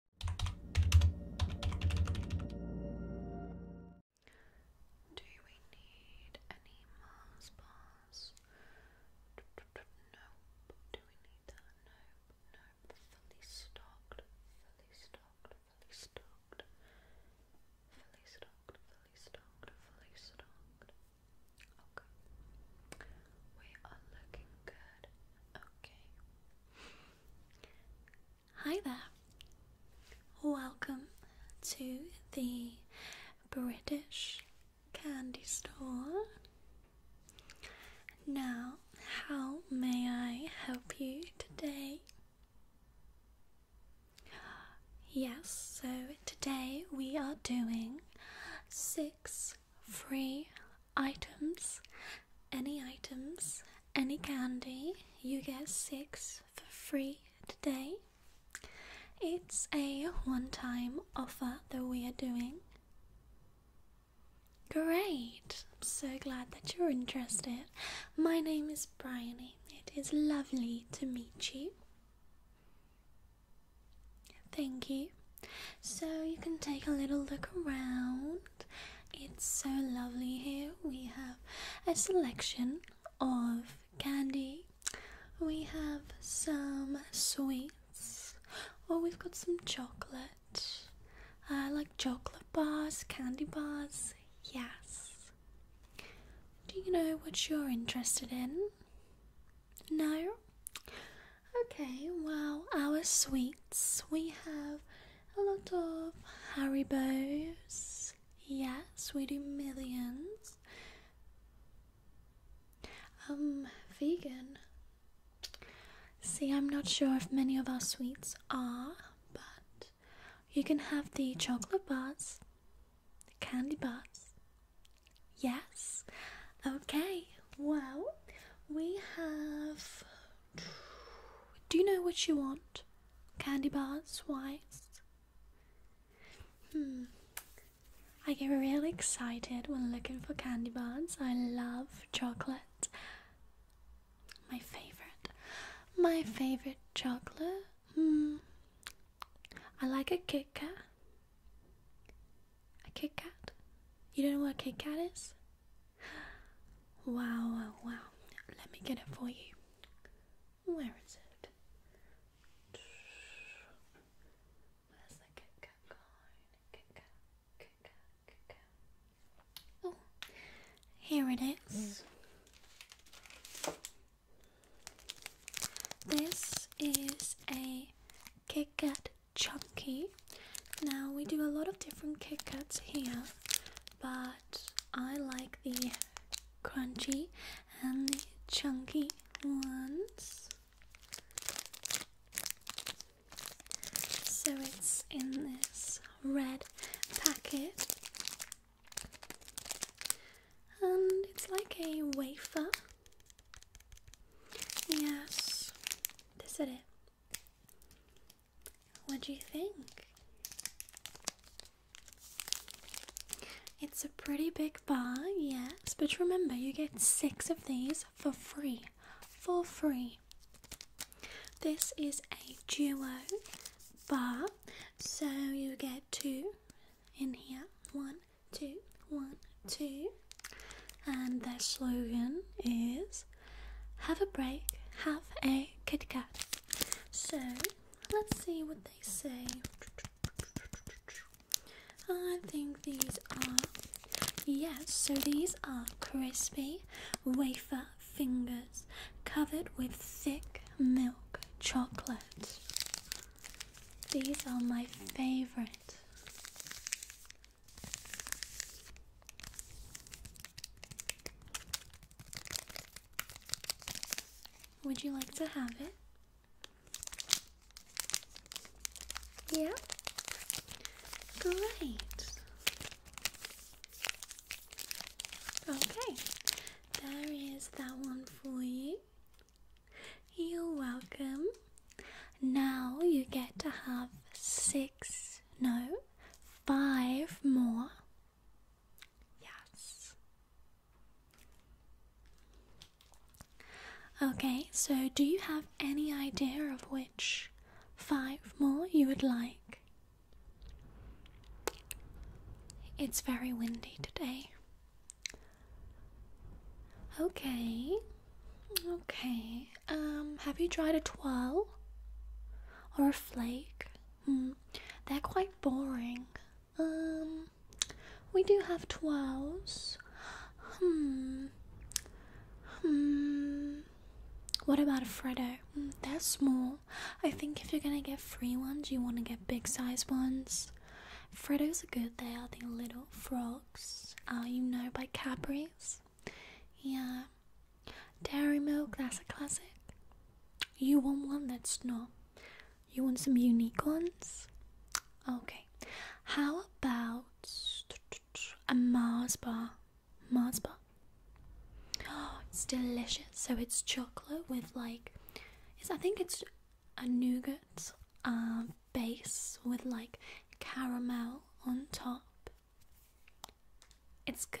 Do we need any Mars bars? Do we need that? Nope. Nope. Fully stocked. Fully stocked. Fully stocked. Fully stocked. Fully stocked. Fully stocked. Okay. We are looking good. Okay. Hi there. Welcome to the British Candy Store. Now, how may I help you today? Yes, so today we are doing six free items, any items, any candy. You get six for free today. It's a one time offer that we are doing. Great! I'm so glad that you're interested. My name is Bryony. It is lovely to meet you. Thank you so you can take a little look around. It's so lovely here. We have a selection of candy, we have some sweets, or we've got some chocolate. I like chocolate bars, candy bars, yes. Do you know what you're interested in? No? Okay, well, our sweets we have a lot of Haribo's. Yes, we do millions. Um, vegan. See, I'm not sure if many of our sweets are, but you can have the chocolate bars, the candy bars. Yes. Okay, well, we have. Do you know what you want? Candy bars wise? Hmm. I get really excited when looking for candy bars. I love chocolate. My favorite. My favorite chocolate? Hmm. I like a Kit a Kit Kat? You don't know what a Kit Kat is? Wow, wow, Let me get it for you. Where is it? Where's the Kit Kat. Oh, here it is. Mm. This is a Kit Kat chunky. Now we do a lot of different Kit Kats here, but I like the crunchy and the chunky ones. So it's in this red packet, and it's like a wafer. Yes, this is it. What do you think? It's a pretty big bar, yes, but remember you get six of these for free. For free. This is a duo bar, so you get two in here, one two, one, two. And their slogan is Have a break, have a KitKat." So let's see what they say. I think these are, yes, so these are crispy wafer fingers covered with thick milk chocolate. These are my favorite. Would you like to have it? Yeah? Great. Okay, there is that one for you. You're welcome. Now you get to have six, no, five more. Yes. Okay, so do you have any idea of which five more you would like? It's very windy today. Okay. Okay. Um, have you tried a twirl or a flake? Hmm. They're quite boring. Um, we do have twirls. Hmm. Hmm. What about a Freddo? Hmm, they're small. I think if you're gonna get free ones, you want to get big size ones. Freddos are good. They are the little frog milks, you know, by Cadbury's. Yeah, dairy milk, that's a classic. You want one that's not. You want some unique ones? Okay, how about a Mars bar? Mars bar. Oh, it's delicious. So it's chocolate with like, it's, I think it's a nougat base with like caramel on top. It's good.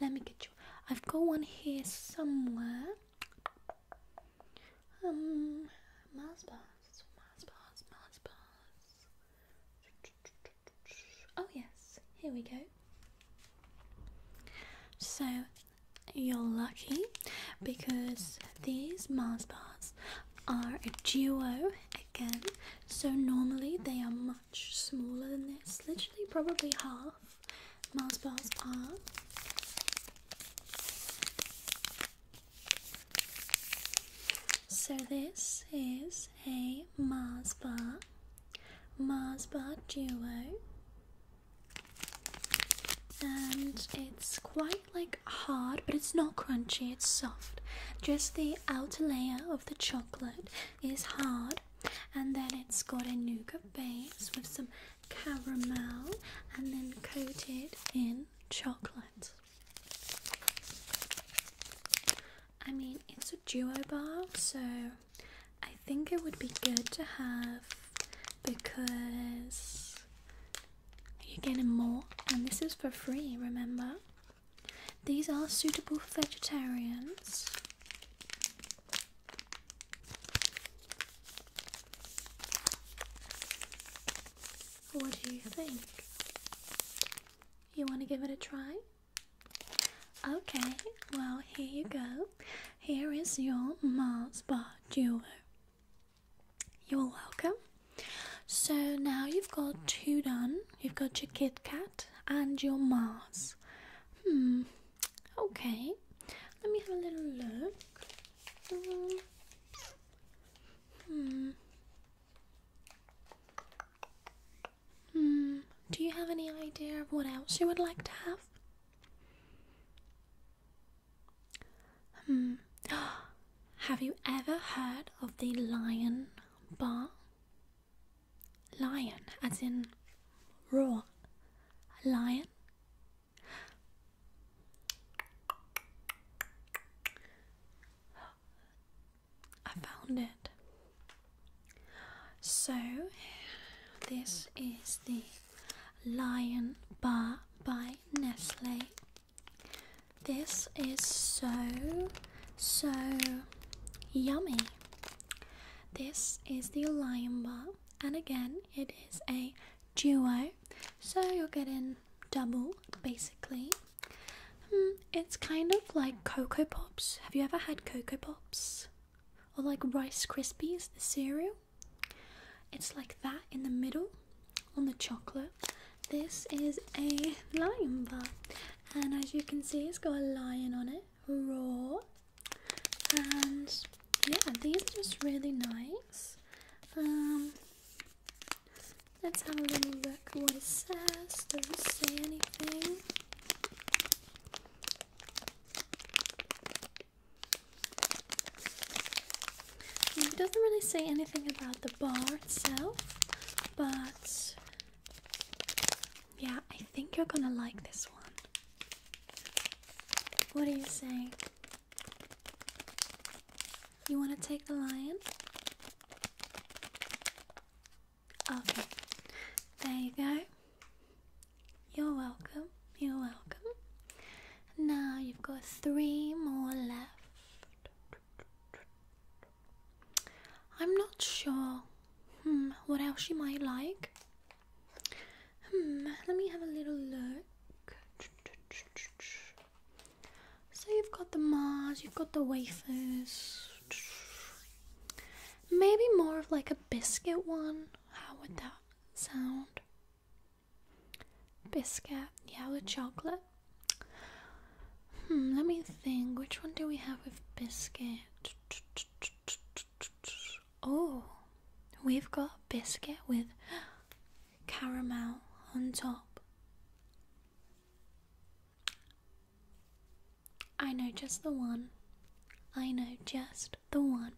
Let me get you. I've got one here somewhere. Um, Mars bars, Mars Oh yes, here we go. So you're lucky because these Mars bars are a duo again, so normally they are much smaller than this, literally, probably half. Mars bars are. So, this is a Mars bar, Mars bar duo and it's quite like hard but it's not crunchy it's soft just the outer layer of the chocolate is hard and then it's got a nougat base with some caramel and then coated in chocolate i mean it's a duo bar so i think it would be good to have because you're getting more, and this is for free, remember? These are suitable for vegetarians. What do you think? You want to give it a try? Okay, well, here you go. Here is your Mars bar duo. You're welcome. So now you've got two done. You've got your Kit Kat and your Mars. Hmm. Okay. Let me have a little look. hmm. Hmm. Do you have any idea of what else you would like to have? Hmm. Have you ever heard of the lion bar? Lion, as in raw. Lion? I found it. So, this is the Lion Bar by Nestle. This is so, so yummy. This is the Lion Bar, and again, it is a duo, so you're getting double basically. Hmm, it's kind of like Cocoa Pops. Have you ever had Cocoa Pops? Or like Rice Krispies, cereal? It's like that in the middle on the chocolate. This is a lion bar, and as you can see, it's got a lion on it, raw. And yeah, these are just really nice. Um, let's have a little look what it says. Does it say anything? It doesn't really say anything about the bar itself, but yeah, I think you're gonna like this one. What do you say? You wanna take the lion? Okay, there you go. You're welcome. You're welcome. Now you've got three more left. I'm not sure hmm, what else you might like. Hmm, let me have a little look. So you've got the Mars, you've got the wafers. Maybe more of like a biscuit one. How would that sound. Biscuit, yellow chocolate. Hmm, let me think. Which one do we have with biscuit? Oh, we've got biscuit with caramel on top. I know just the one. I know just the one.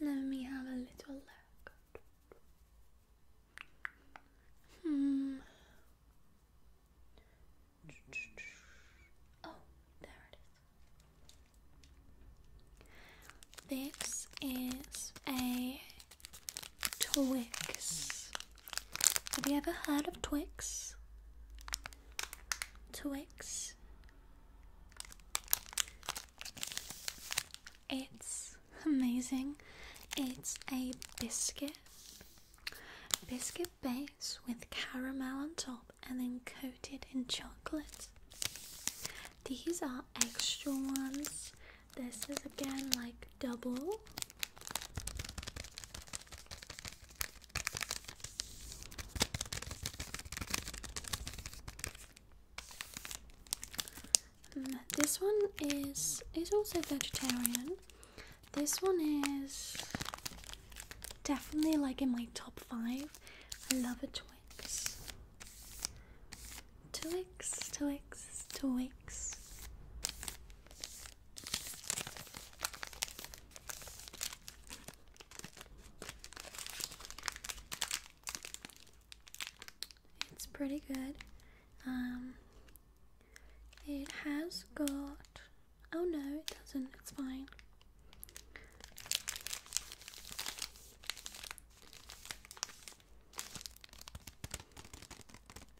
Let me have a little look. Hmm. Oh, there it is. This is a Twix. Have you ever heard of Twix? Twix. It's amazing. It's a biscuit. Biscuit base with caramel on top and then coated in chocolate. These are extra ones. This is again like double. Mm, this one is is also vegetarian. This one is definitely like in my top five. I love a Twix. Twix, Twix, Twix. It's pretty good. Um, it has got. Oh no, it doesn't. It's fine.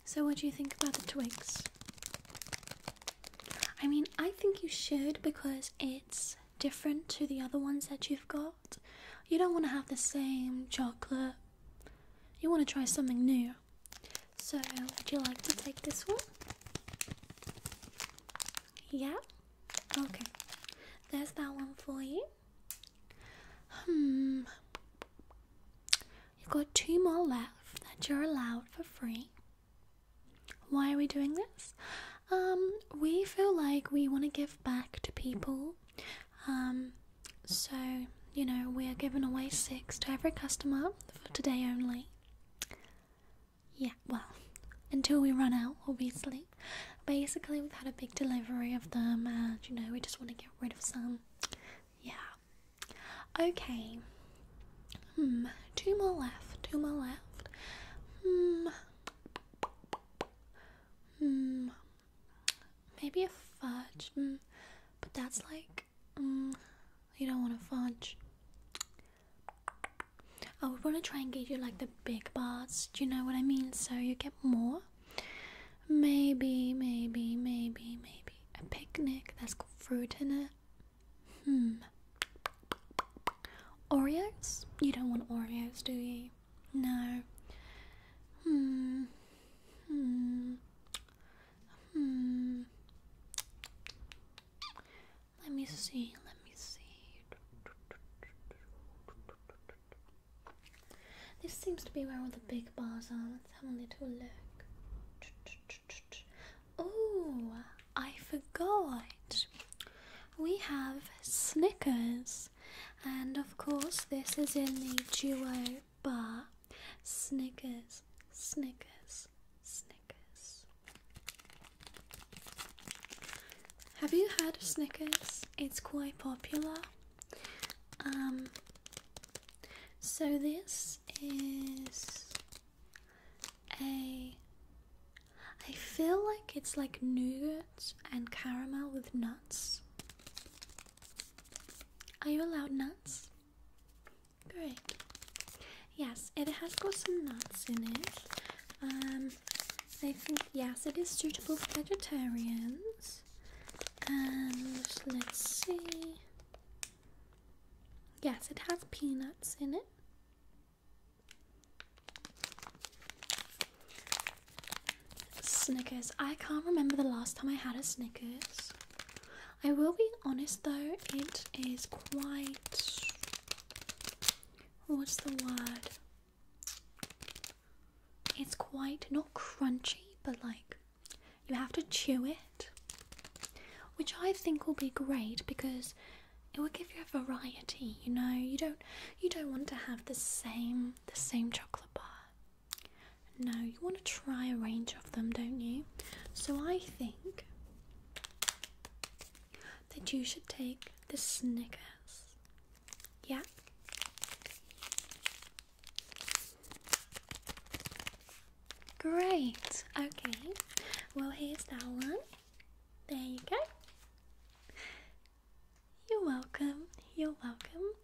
So, what do you think about the twigs? I mean, I think you should because it's different to the other ones that you've got. You don't want to have the same chocolate, you want to try something new. So, would you like to take this one? Yeah? Okay. There's that one for you. Hmm. You've got two more left that you're allowed for free. Why are we doing this? Um, we feel like we want to give back to people. Um, so, you know, we are giving away six to every customer for today only. Yeah, well, until we run out, obviously. Basically, we've had a big delivery of them, and you know, we just want to get rid of some. Yeah. Okay. Hmm. Two more left. Two more left. Hmm. Hmm. Maybe a fudge. Mm. But that's like. Mm, you don't want a fudge. I oh, would want to try and get you like the big bars. Do you know what I mean? So you get more. Maybe, maybe, maybe, maybe. A picnic that's got fruit in it. Hmm. Oreos? You don't want Oreos, do you? No. Hmm. Hmm. Hmm. Let me see. Let me see. This seems to be where all the big bars are. Let's have a little look. Oh, I forgot. We have Snickers, and of course, this is in the duo bar. Snickers, Snickers, Snickers. Have you heard Snickers? It's quite popular. Um, so this is a I feel like it's like nougat and caramel with nuts. Are you allowed nuts? Great. Yes, it has got some nuts in it. Um, I think, yes, it is suitable for vegetarians. And let's see. Yes, it has peanuts in it. Snickers. I can't remember the last time I had a Snickers. I will be honest though, it is quite. What's the word? It's quite not crunchy, but like you have to chew it, which I think will be great because it will give you a variety. You know, you don't you don't want to have the same the same chocolate bar. No, you want to try a range of them, don't you? So I think that you should take the Snickers. Yeah. Great. Okay. Well, here's that one. There you go. You're welcome. You're welcome.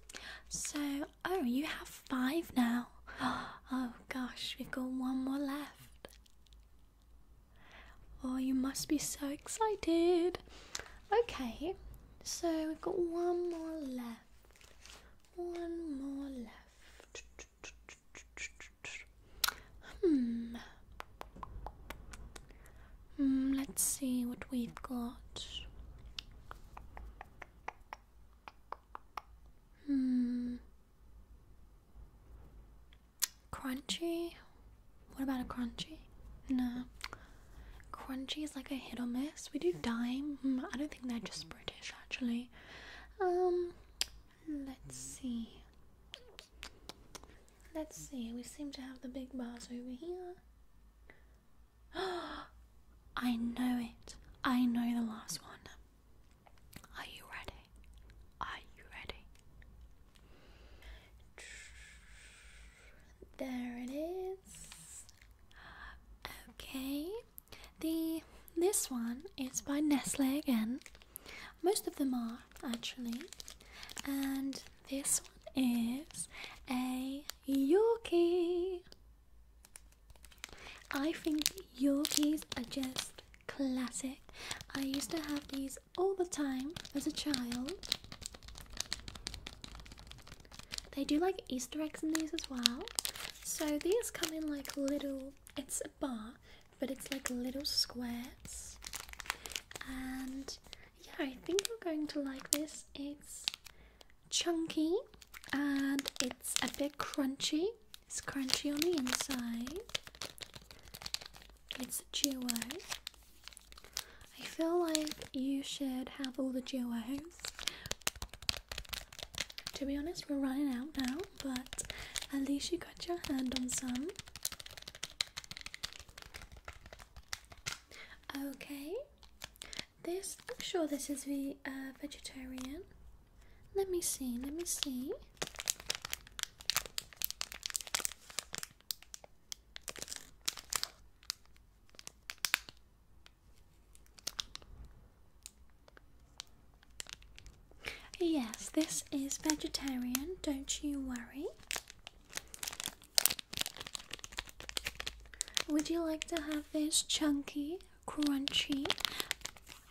So, oh, you have five now. Oh gosh, we've got one more left. Oh, you must be so excited. Okay, so we've got one more left. One more left. Hmm. hmm. let's see what we've got. Hmm. Crunchy? What about a crunchy? No. Crunchy is like a hit or miss. We do dime. Hmm, I don't think they're just actually. Um, let's hmm. see. Let's see. We seem to have the big bars over here. I know it. I know the last one. Are you ready? Are you ready? There it is. Okay. The this one is by Nestle again. Most of them are actually, and this one is a Yorkie. I think Yorkies are just classic. I used to have these all the time as a child. They do like Easter eggs in these as well. So these come in like little, it's a bar, but it's like little squares. And yeah, I think you're going to like this. It's chunky and it's a bit crunchy. It's crunchy on the inside. It's a duo. I feel like you should have all the duo to be honest, we're running out now, but at least you got your hand on some. Okay, this I'm sure this is the uh, vegetarian. Let me see, let me see. Yes, this is vegetarian, don't you worry. Would you like to have this chunky, crunchy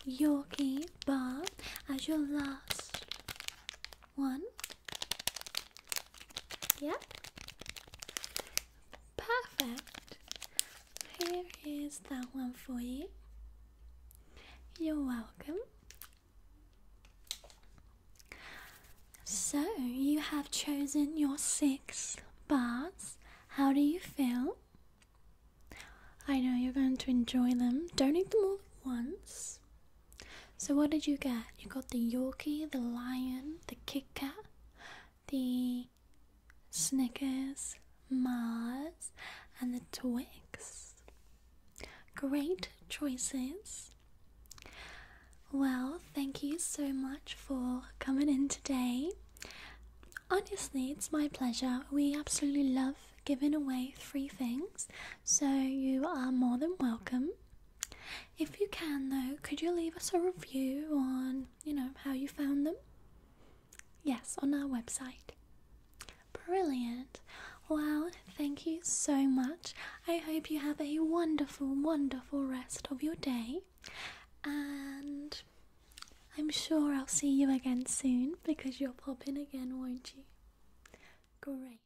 yucky bar as your last one? Yep. Perfect. Here is that one for you. You're welcome. So, you have chosen your six bars. How do you feel? I know you're going to enjoy them. Don't eat them all at once. So, what did you get? You got the Yorkie, the lion, the Kit Kat, the Snickers, Mars, and the Twix. Great choices. Well, thank you so much for coming in today. Honestly, it's my pleasure. We absolutely love giving away free things, so you are more than welcome. If you can, though, could you leave us a review on you know, how you found them? Yes, on our website. Brilliant. Well, thank you so much. I hope you have a wonderful, wonderful rest of your day. And I'm sure I'll see you again soon because you'll pop in again, won't you? Great.